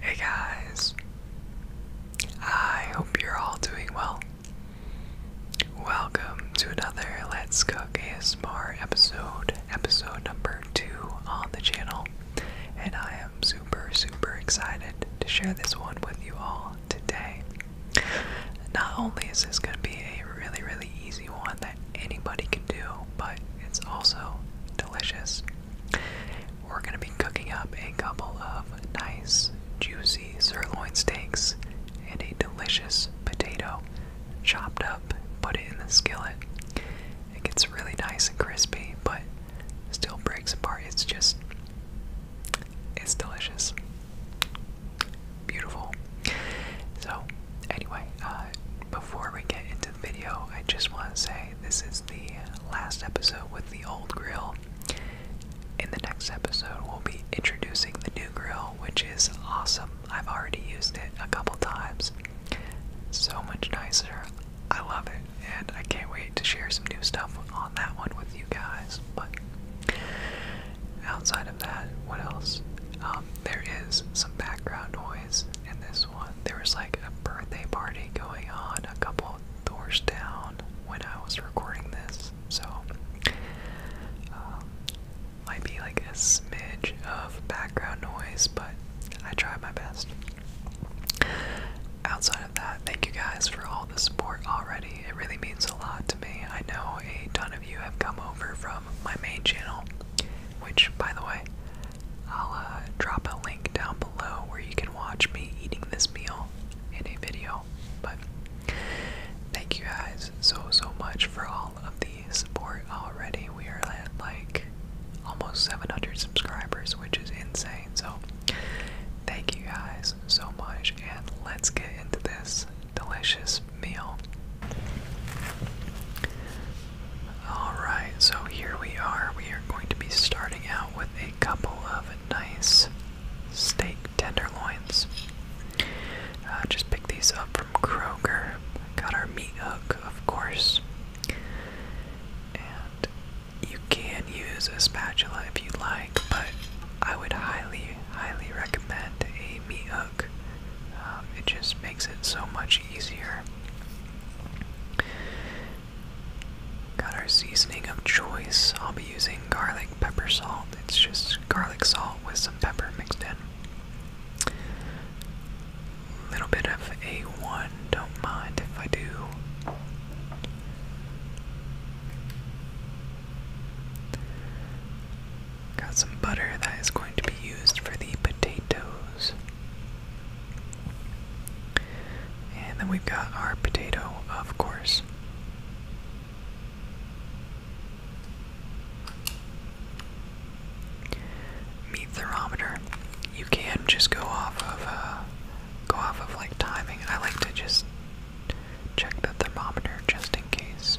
Hey guys, I hope you're all doing well. Welcome to another Let's Cook ASMR episode, episode number two on the channel, and I am super, super excited to share this one with you all today. Not only is this going to be a really, really easy one that anybody can do, but it's also delicious. We're going to be cooking up a couple of nice, juicy sirloin steaks and a delicious potato chopped up, put it in the skillet. It gets really nice and crispy, but still breaks apart. It's just, it's delicious. Beautiful. So, anyway, uh, before we get into the video, I just want to say this is the last episode with the old grill. In the next episode, we'll be introducing the new grill, which is awesome. I've already used it a couple times. So much nicer. I love it, and I can't wait to share some new stuff on that one with you guys. But outside of that, what else? Um, there is some background noise in this one. There was like a birthday party going on a couple doors down when I was recording this, so um, might be like a smidge of background noise, but I tried my best. Outside of that, thank you guys for all the support already. It really means a lot to me. I know a ton of you have come over from my main channel, which, by the way, I'll uh, drop a link down below where you can watch me eating this meal in a video. But thank you guys so, so much for all of the support already. We are at like almost 700 subscribers, which is insane. So thank you guys so much, and let's get into this delicious meal. Alright, so here we are. We are going to be starting out with a couple of nice steak tenderloins. Uh, just picked these up from Kroger. Got our meat hook, of course. And you can use a spatula if you'd like, but I would highly, highly recommend a meat hook. Um, it just makes it so much easier. Got our seasoning of choice. I'll be using garlic pepper salt. It's just garlic salt with some pepper mixed in. little bit of A1, don't mind if I do. Got some butter that is going to be used for the potatoes. And then we've got our potato, of course. Meat thermometer. You can just go off of uh, go off of like timing. I like to just check the thermometer just in case.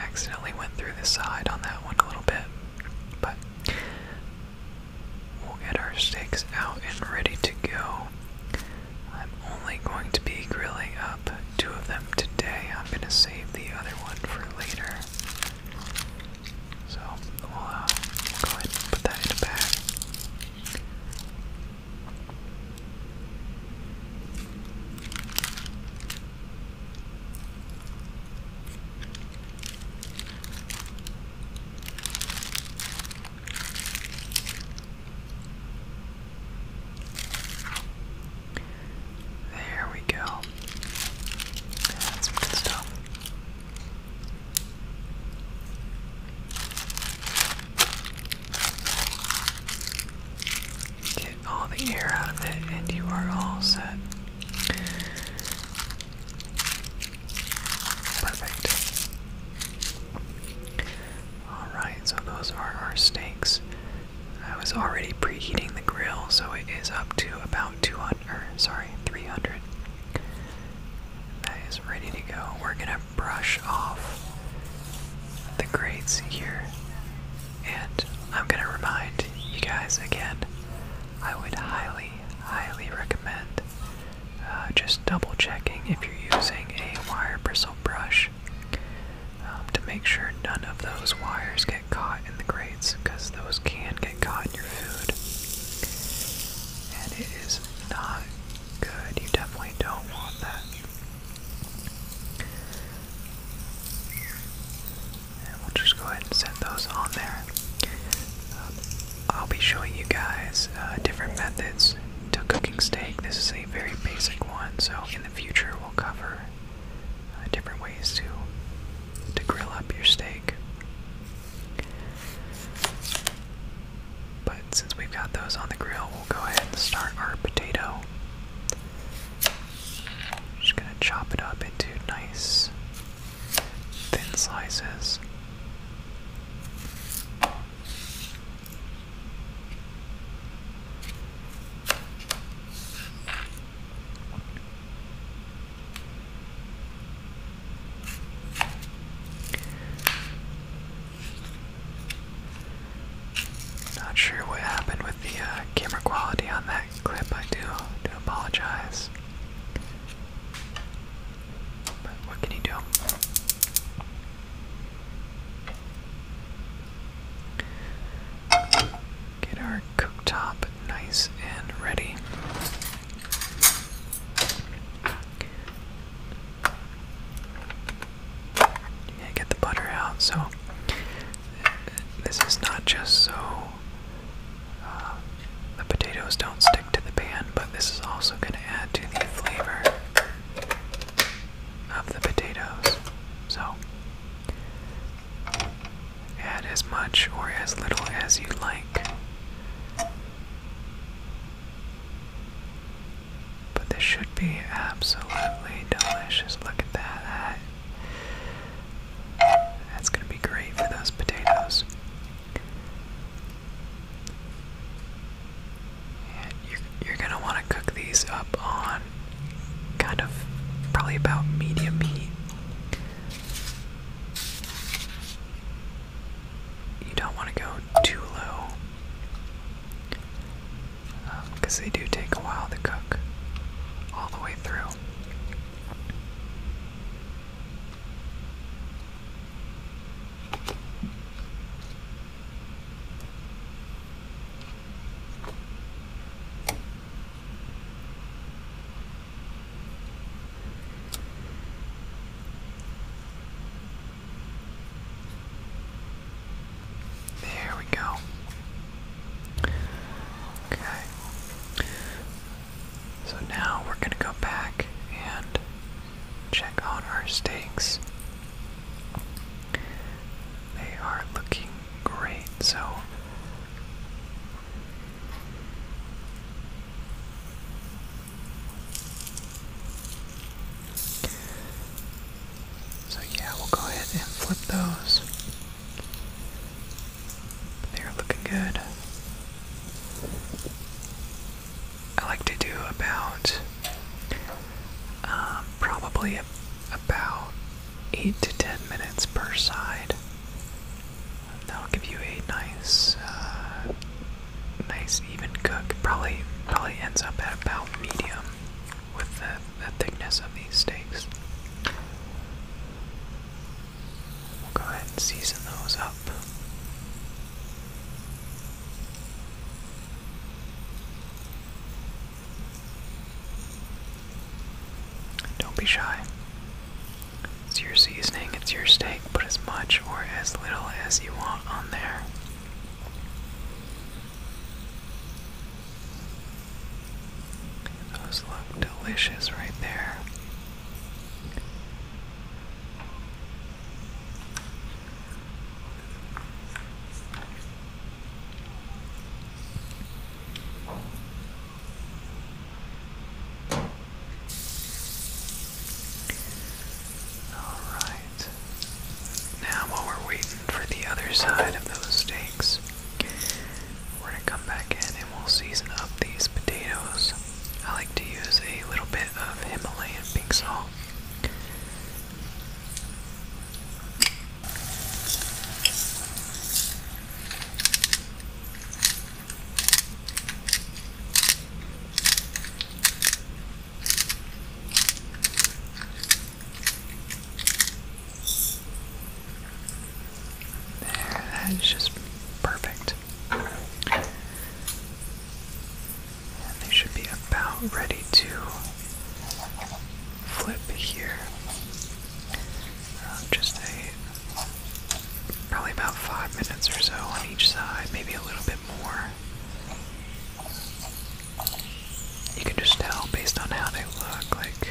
accidentally went through the side on that one a little bit, but we'll get our steaks out and ready to go. I'm only going to be grilling up two of them today. I'm going to save the other one for later. So we'll, uh, go ahead and put that in a bag. There we go. That's good stuff. Get all the air out of it, and you are all set. Perfect. Alright, so those are our steaks. I was already preheating the grill, so it is up to about 200, sorry, 300. That is ready to go. We're gonna brush off the grates here and I'm going to remind you guys again, I would highly, highly recommend uh, just double checking if you're using a wire bristle brush um, to make sure none of those wires get caught in the grates because those can get caught in your food. And it is not good. You definitely don't want that we'll just go ahead and set those on there. Um, I'll be showing you guys uh, different methods to cooking steak. This is a very basic one, so in the future we'll cover uh, different ways to to grill up your steak. But since we've got those on the grill, we'll go ahead and start our potato. Just gonna chop it up into nice thin slices. Not sure what happened with the uh, camera quality on that clip, I do do apologize. But what can you do? Get our cooktop nice and ready get the butter out. So this is not just so uh, the potatoes don't stick to the pan, but this is also going to add to the flavor of the potatoes. So add as much or as little as you like. But this should be absolutely delicious. Look at that. That's gonna be great for those potatoes. And you're, you're gonna wanna cook these up on kind of probably about medium heat. You don't wanna go too low because they do take a while to cook all the way through. There we go. Okay. So now we're going to go back and check on our steaks. They are looking great, so. So, yeah, we'll go ahead and flip those. They're looking good. I like to do about um, probably about eight to ten minutes per side. That'll give you a nice, uh, nice even cook. Probably, probably ends up at about medium with the the thickness of these steaks. We'll go ahead and season those up. Don't be shy. It's your seasoning, it's your steak. Put as much or as little as you want on there. Those look delicious right there. All right. Now, while we're waiting for the other side of those steaks. We're gonna come back in and we'll season up these potatoes. I like to use a little bit of Himalayan pink salt that is just perfect. And they should be about ready to flip here. Um, just a probably about five minutes or so on each side, maybe a little bit more you can just tell based on how they look, like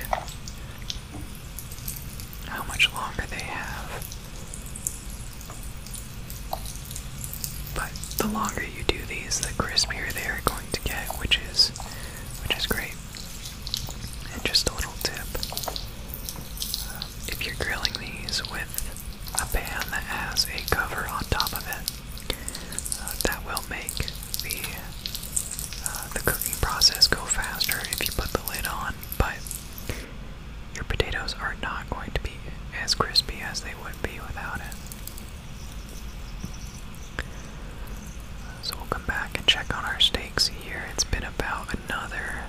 how much longer they have. But the longer you do these, the crispier they are going to get, which is which is great. And just a little tip: if you're grilling these with a pan that has a cover on top of it, uh, that will make the uh, the cooking process go faster if you put the lid on, but your potatoes are not going to be as crispy as they would be without it. So we'll come back and check on our steaks here. It's been about another,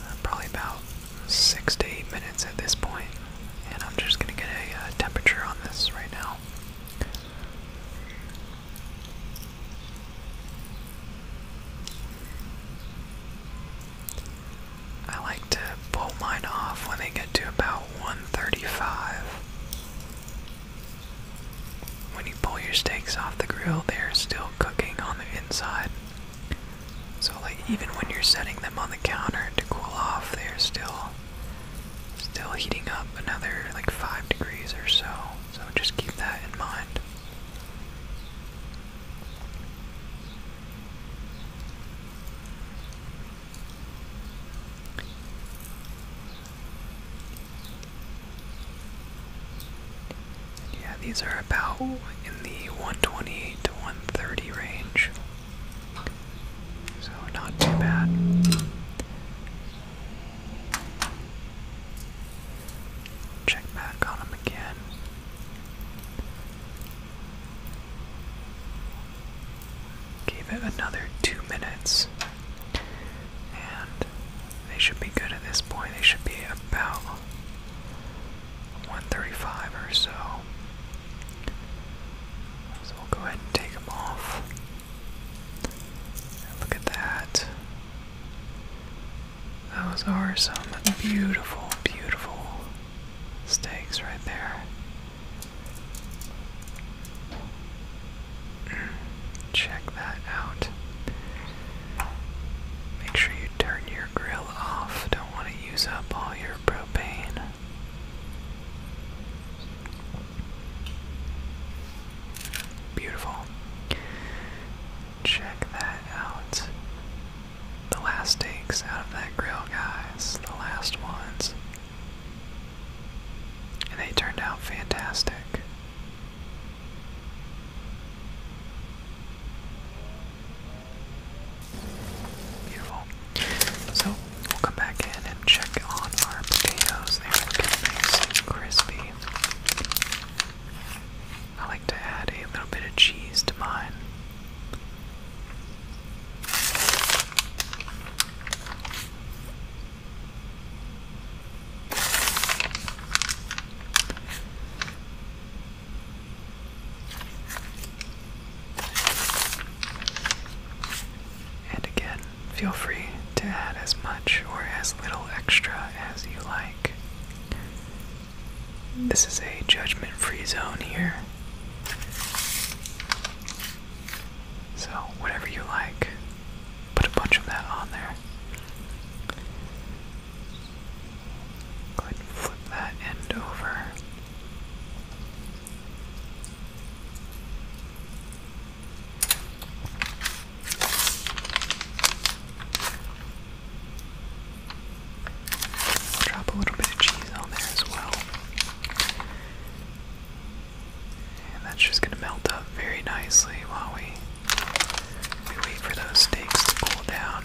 uh, probably about six to eight minutes at this point, and I'm just going to get a uh, temperature on this right now. I like to pull mine off when they get to about 135. When you pull your steaks off the grill, they're still cooking on the inside. So, like, even when you're setting them on the counter to cool off, they're still still heating up another like 5 degrees or so, so just keep that in mind. yeah, these are about in the 128 to 130 range. So, not too bad. Check back on him again. Give it another two minutes. And they should be good at this point. They should be about 135 or so. So we'll go ahead and take them off. Look at that. Those are some beautiful, beautiful steaks right there. Mm, check that out. Make sure you turn your grill off. Don't want to use up all your propane. Beautiful. Check that out. The last steaks out of that grill, guys. The last ones. And they turned out fantastic. Beautiful. So we'll come back in and check on our potatoes. They are getting nice and crispy. I like to add a little bit of cheese to mine. And again, Feel free to add as much or as little extra as you like. This is a judgment free zone here. So, whatever you like, put a bunch of that on there. Go ahead and flip that end over drop a little bit of cheese on there as well. And that's just gonna melt up very nicely while we, we wait for those steaks to cool down.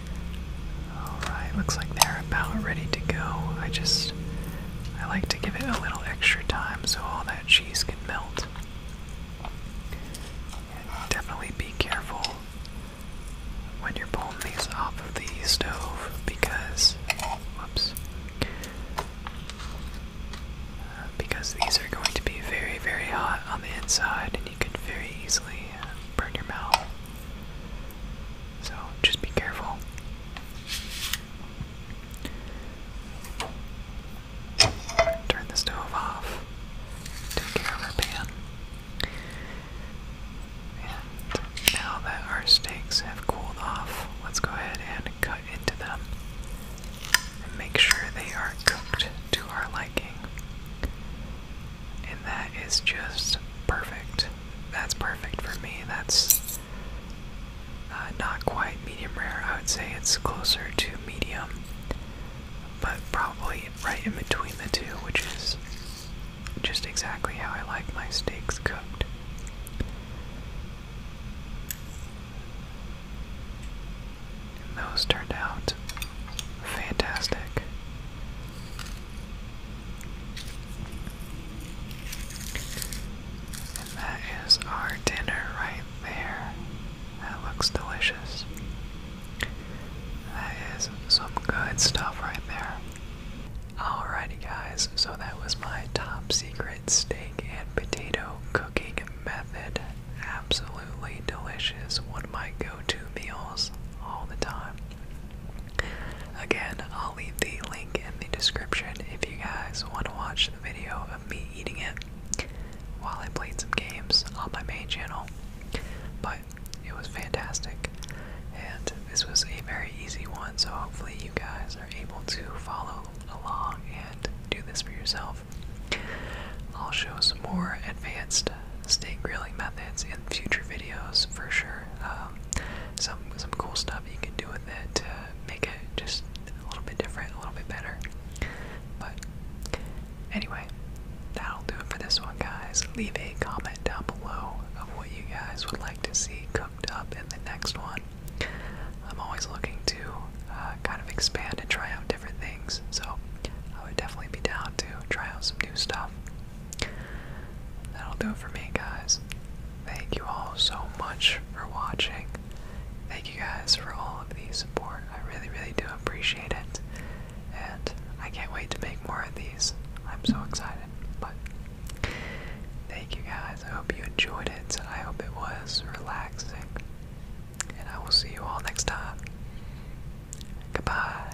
Alright, looks like they're about ready to go. I just, I like to give it a little extra time so all that cheese can melt. definitely be careful when you're pulling these off of the stove because, whoops, uh, because these are going to be very, very hot on the inside and you can very easily uh, burn your mouth. So just be careful. Turn the stove off. Take care of our pan. And now that our steaks have cooled off, let's go ahead and cut into them and make sure they are cooked to our liking. And that is just perfect. That's perfect for me. That's uh, not quite medium rare. I would say it's closer to medium, but probably right in between the two, which is just exactly how I like my steaks cooked. And those turned out fantastic. And that is our dinner right there. That looks delicious. That is some good stuff right there. Alrighty, guys, so that was my top secret steak and potato cooking method. Absolutely delicious. One of my go to meals all the time. Again, I'll leave the link in the description if you guys want to watch the video of me eating it while I played some games on my main channel. But it was fantastic, and this was a very easy one, so hopefully, you guys are able to follow along and do this for yourself. I'll show some more advanced steak grilling methods in future videos for sure. Um, some some cool stuff you can do with it to make it just a little bit different, a little bit better. But anyway, that'll do it for this one, guys. Leave a comment down below of what you guys would like to see cooked up in the next one. I'm always looking to uh, kind of expand and try out different things, so I would definitely be down to try out some new stuff. That'll do it for me, guys. Thank you all so much for watching. Thank you guys for all of the support. I really, really do appreciate it. And I can't wait to make more of these. I'm so excited. But thank you guys. I hope you enjoyed it. I hope it was relaxing. And I will see you all next time. Goodbye.